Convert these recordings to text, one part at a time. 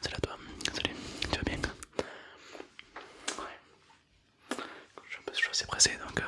Salut à toi, salut, tu vas bien Ouais. Je suis, peu, assez pressé donc tu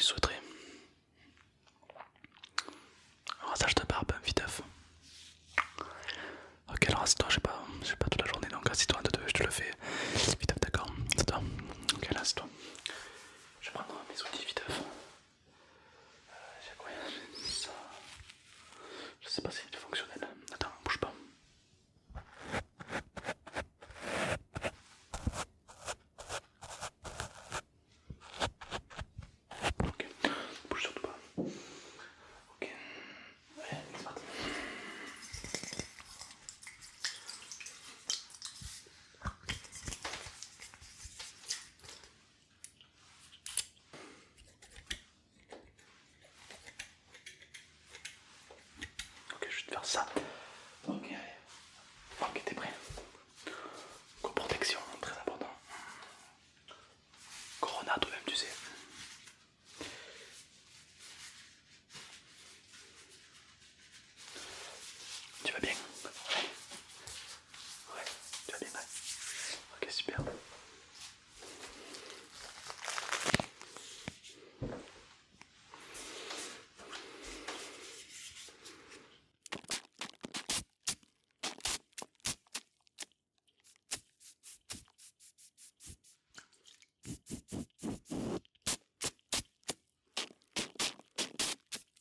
euh, souhaiterais ça rasage de barbe, viteuf. Ok, alors assis-toi, je sais pas, pas toute la journée donc assis-toi, je te le fais viteuf, d'accord C'est toi Ok, là assis-toi. Je vais prendre mes outils viteuf j'ai euh, ça Je sais pas si c'est fonctionnel. Attends, bouge pas. Ok, bouge surtout pas. Ok, allez, c'est parti. Ok, je vais te faire ça. Ok, ok, t'es prêt. co protection, très important. Corona, toi-même, tu sais. Tu vas bien Ouais, tu as les mains. Ok, super.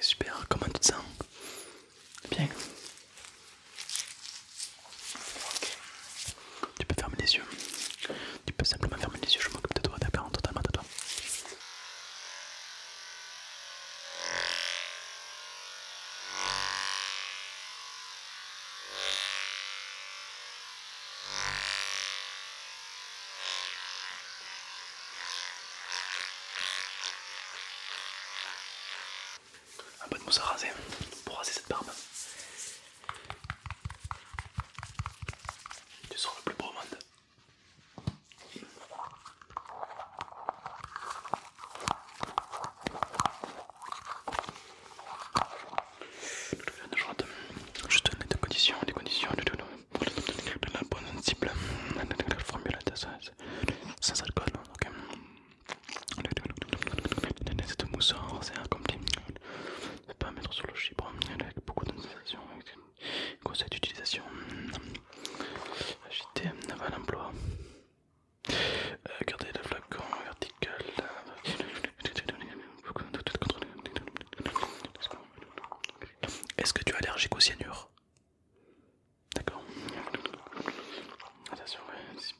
super, comment tu te sens Bien. Tu peux fermer les yeux. Tu peux simplement fermer les yeux, je m'occupe de toi, d'accord Totalement de toi. Un peu de mousse à raser pour raser cette barbe. Tu seras le plus beau monde. Juste les conditions, les conditions, la bonne cible, la formule sans alcool, mousseur C'est c'est Pas mettre sur le chibre, hein, avec beaucoup d'utilisation, conseil d'utilisation, agiter, emploi, euh, garder le flacon vertical. Euh, est-ce que tu es allergique au cyanure D'accord. Attention,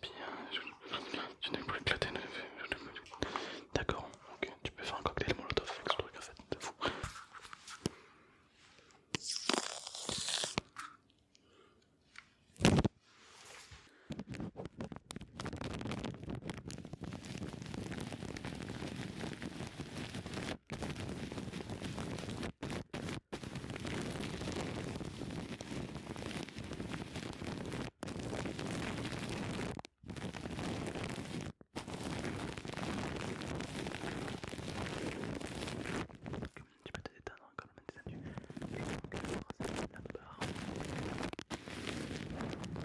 tu hein, n'es plus éclaté. D'accord, ok. Tu peux faire un cocktail molotov avec ce truc en fait, c'est fou. Tu peux te détendre comme le mais du.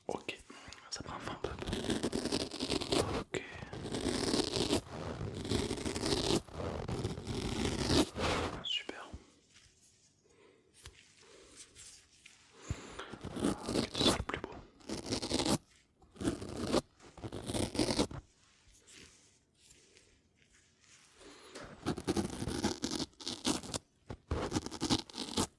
Ok, ça prend un peu. Ok. Super. Ok, ce sera le plus beau.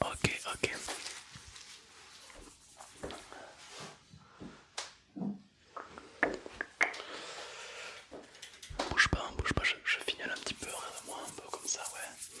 Ok, ok. Bouge pas, hein, bouge pas, je, finis un petit peu, regarde-moi un peu comme ça, ouais.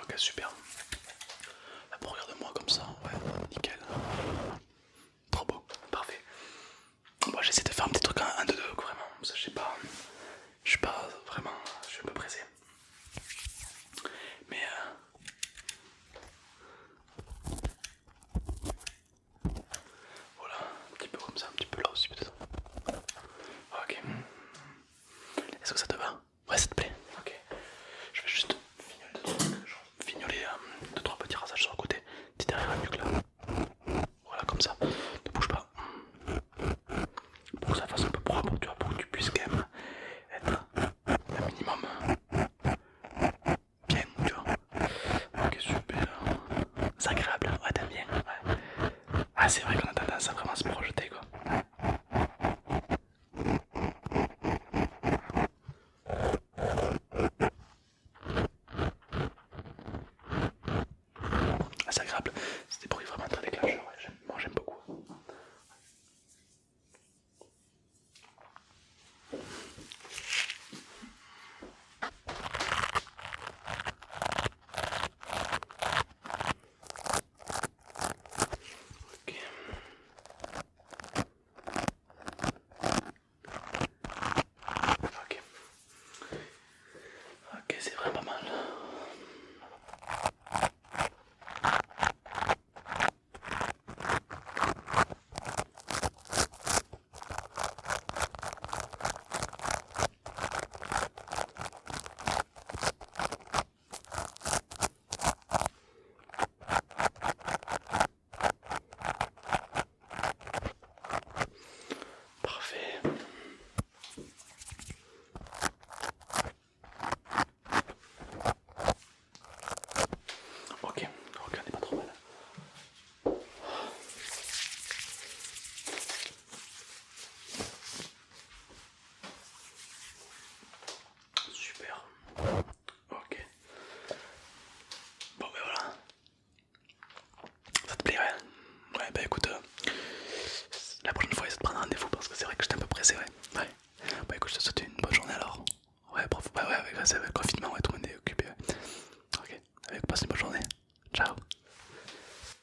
Ok, super. pour regarder moi comme ça, ouais, nickel. Trop beau, parfait. Bon, j'essaie de faire un petit truc en deux deux vraiment. Ça, je sais pas. Je suis pas vraiment. Je suis un peu pressé. Mais. Euh, voilà, un petit peu comme ça, un petit peu là aussi peut-être. Ok. Est-ce que ça te va Ouais, ça te plaît Ok. Je vais juste fignoler euh, deux trois petits rasages sur le côté. Petit derrière le nuque Voilà, comme ça. Ne bouge pas. Pour que ça fasse un peu propre, tu vois, pour que tu puisses quand même être un minimum bien, tu vois. Ok, super. C'est agréable, hein ouais, t'aimes bien. Ouais. Ah, c'est vrai qu'on a tendance à vraiment se projeter quoi. Ah, c'est agréable, c'est des bruits vraiment très déclencheurs, moi j'aime beaucoup. Ok. Ok. c'est vraiment mal. Parfait. Ok, regardez pas trop mal. Super. Ok. Bon ben voilà. Ça te plairait Ouais bah écoute, euh, la prochaine fois essaye de prendre rendez-vous parce que c'est vrai que j'étais un peu pressé, ouais. Ouais. Bah écoute, je te souhaite une bonne journée alors. Ouais, prof, ouais, bah, ouais, avec, le confinement, ouais, tout le monde est occupé. Ok, passe une bonne journée. Ciao.